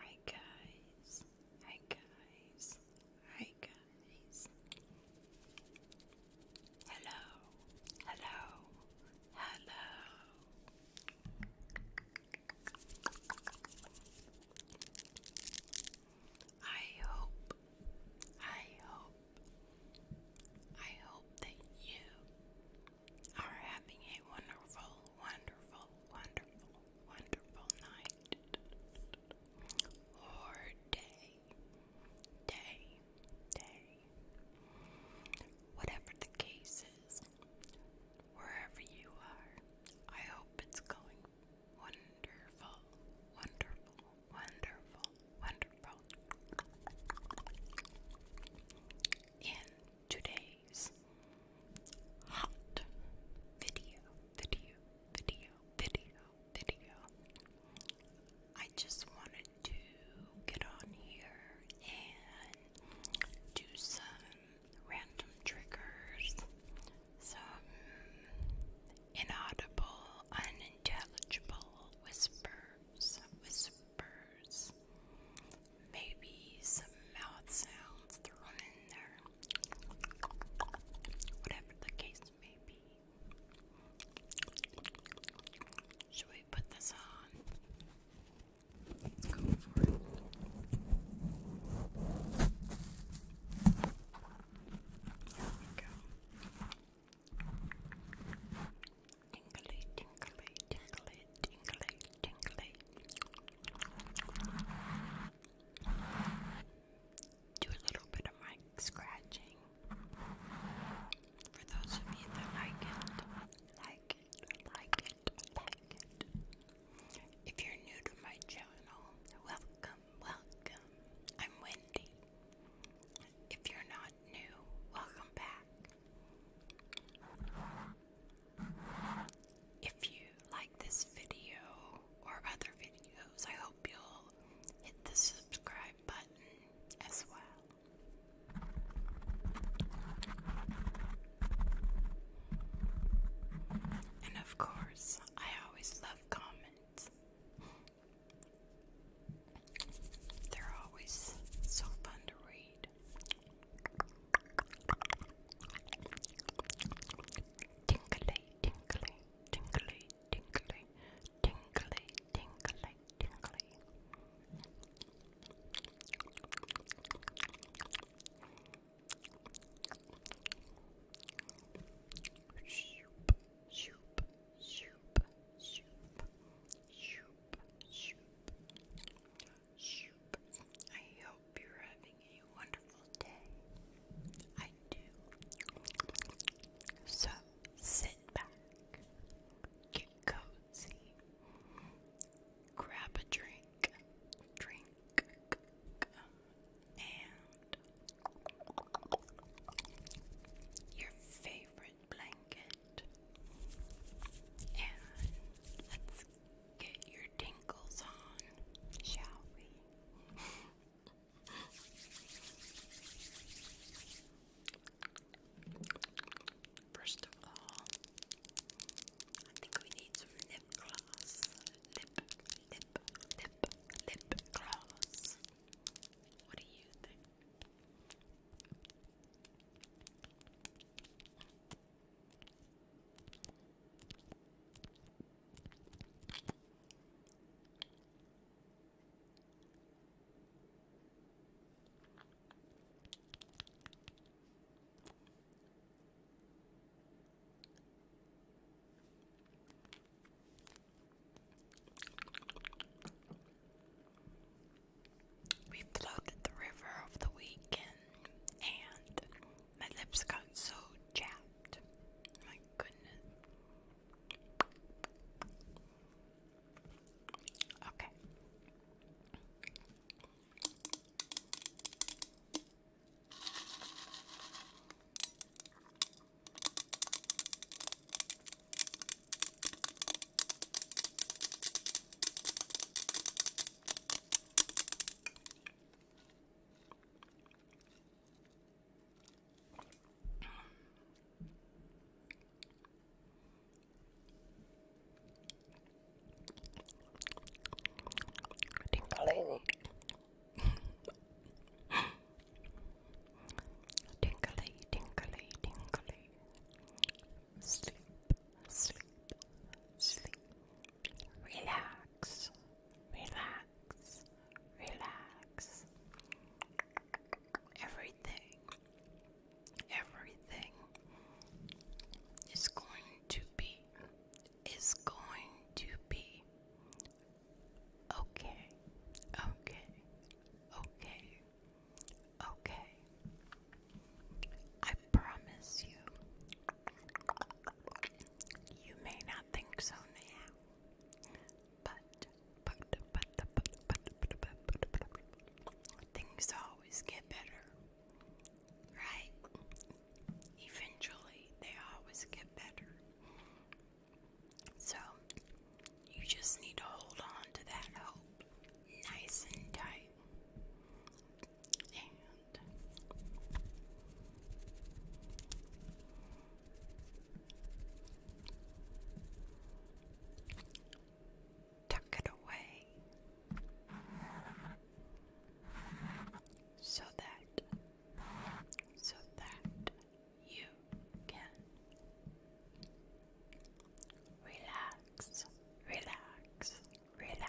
Hi guys, hi guys, hi guys. Hello, hello, hello. I hope, I hope, I hope that you are having a wonderful, wonderful, wonderful, wonderful night or day, day, day. Whatever the case is, wherever you are, I hope it's going wonderful, wonderful, wonderful, wonderful. And today's hot video, video, video, video, video. I just wanted to get on here and do some random triggers, some inaudible, unintelligible whispers, whispers maybe some mouth sounds thrown in there. Whatever the case may be. Should we put this on? Let's go for it. There we go. Tingly, tingly, tingly, tingly, tingly, do a little bit of mic scratching for those of you that like it, like it, like it, like it. If you're new to my channel, welcome, welcome. I'm Wendy. If you're not new, welcome back. If you like this video or other videos, I hope you'll hit the subscribe button as well. And of course, I always love comments. They're always so fun to read good. Tinkly, tinkly, tinkly, tinkly, tinkly, tinkly, tinkly. Shoop, shoop, shoop, shoop, shoop, shoop. I hope you're having a wonderful day. I do. So sit back, get cozy, grab a drink, drink, and your favorite blanket. And let's get your tingles on, shall we? First of all, I think we need some lip gloss. Lip, lip, lip, lip gloss. What do you think? We floated the river over the weekend and my lips got so chapped. My goodness. Okay. Tinkling, tinkly, tinkly, tinkly. Sleep, sleep, sleep. Relax, relax, relax, relax. Everything, everything is going to be, is going to be okay, okay, okay, okay. I promise you. You may not think so now, but but but but but but but, but, but, but things always get better, right? Eventually, they always get better. So you just need to hold on to that hope, nice and tight and tuck it away so that so that you can relax relax relax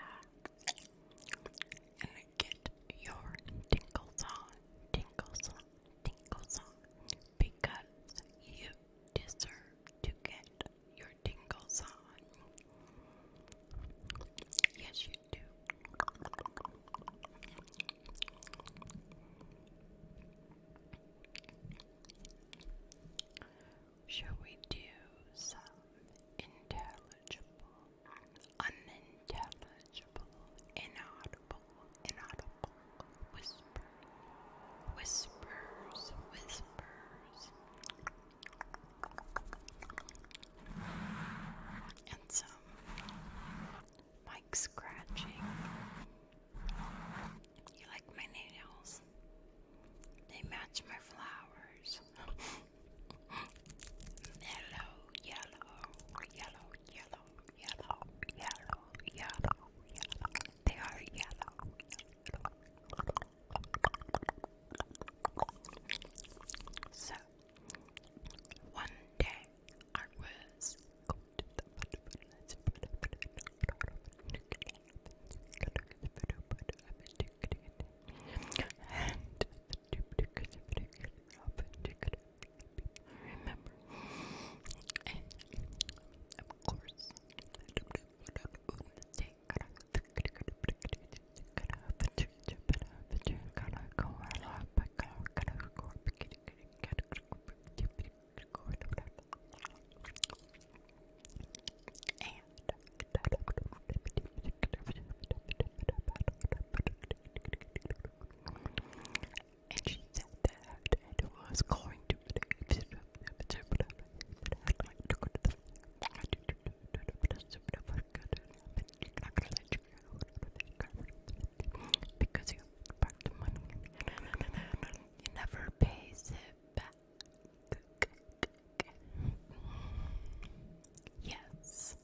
get your tingles on, tingles on, tingles on, because you deserve to get your tingles on. Yes, you do. Shall we do some intelligent unintelligible, inaudible, inaudible, whisper, whispers, whispers. And some mic scratching. You like my nails? They match my flowers. Hello, yellow, yellow, yellow, yellow, yellow, yellow, yellow. They are yellow. So one day I was going to the and remember, and of course, and and she said that it was going to be because you part the money. You never pays it back. Yes.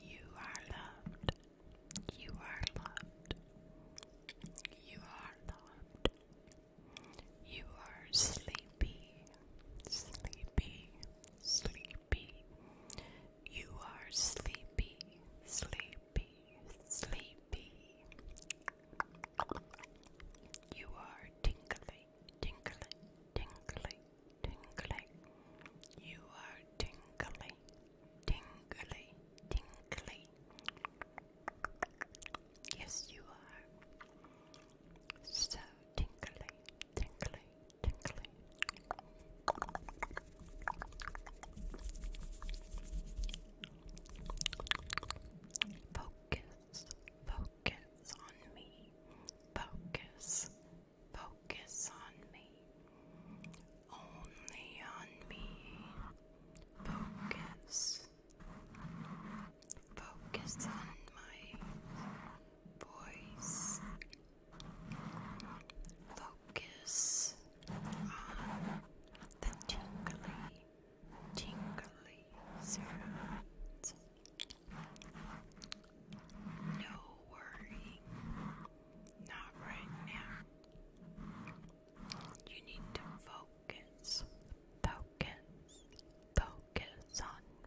You are loved. You are loved. You are loved. You are sleepy, sleepy, sleepy sleepy. You are sleepy, sleepy, sleepy. You are tingling, tingling, tingling, tingling. You are tingling, tingling, tingling. Yes, you are. So tingly, tingly, Focus, focus on me. Focus, focus on me. Only on me. Focus. Focus on my voice Focus on the tingly, tingly sounds. No worrying, not right now. You need to focus, focus, focus on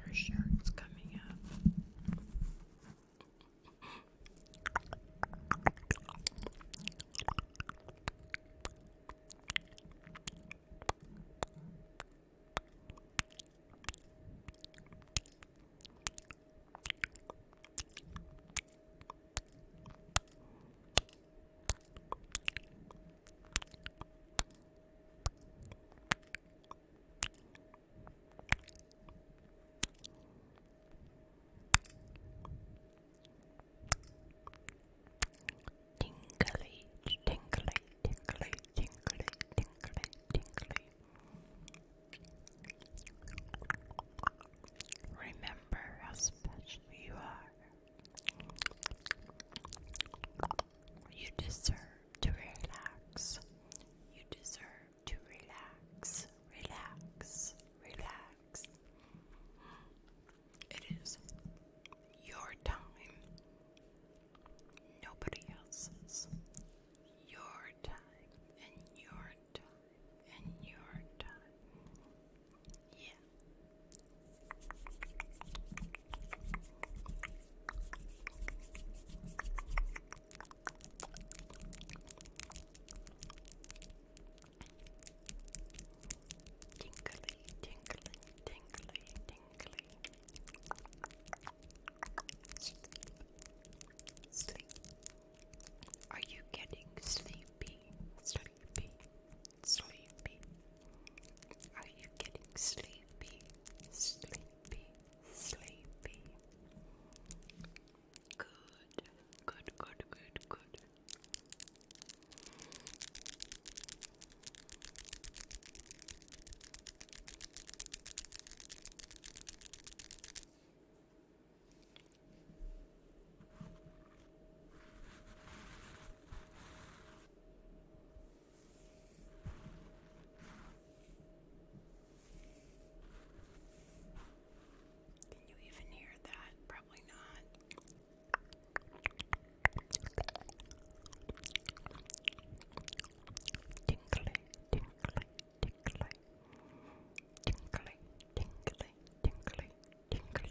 Her shirt's coming up. Tinkly, tinkly, tinkly, tinkly, tinkly, tinkly. Remember how special you are. You deserve to relax. You deserve to relax, relax, relax. It is your time, nobody else's. Your time, and your time, and your time. Yeah. Tinkly, tinkly, tinkly, Are you getting sleepy? Sleepy, sleepy. Are you getting sleepy? Sleepy, sleepy. Good, good, good, good, good. Can you even hear that? Probably not. Tinkly, tinkly, tinkly. Tinkly, tinkly, tinkly, tinkly.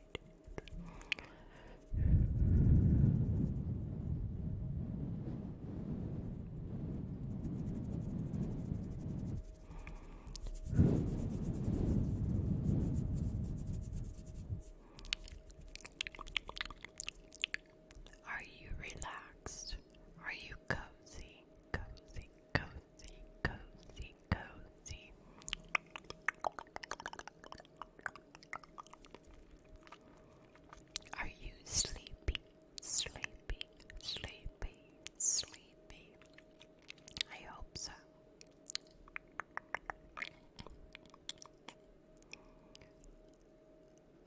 Are you relaxed? Are you cozy? Cozy, cozy, cozy, cozy. Are you sleepy? Sleepy, sleepy, sleepy. I hope so.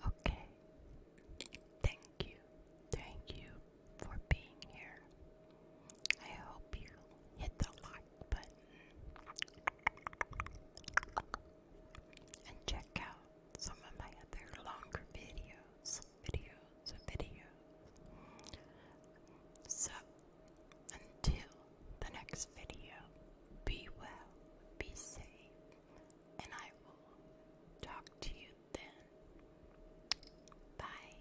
Okay. Thank you. Thank you for being here. I hope you hit the like button and check out some of my other longer videos, videos, videos. So, until the next video, be well, be safe, and I will talk to you then. Bye.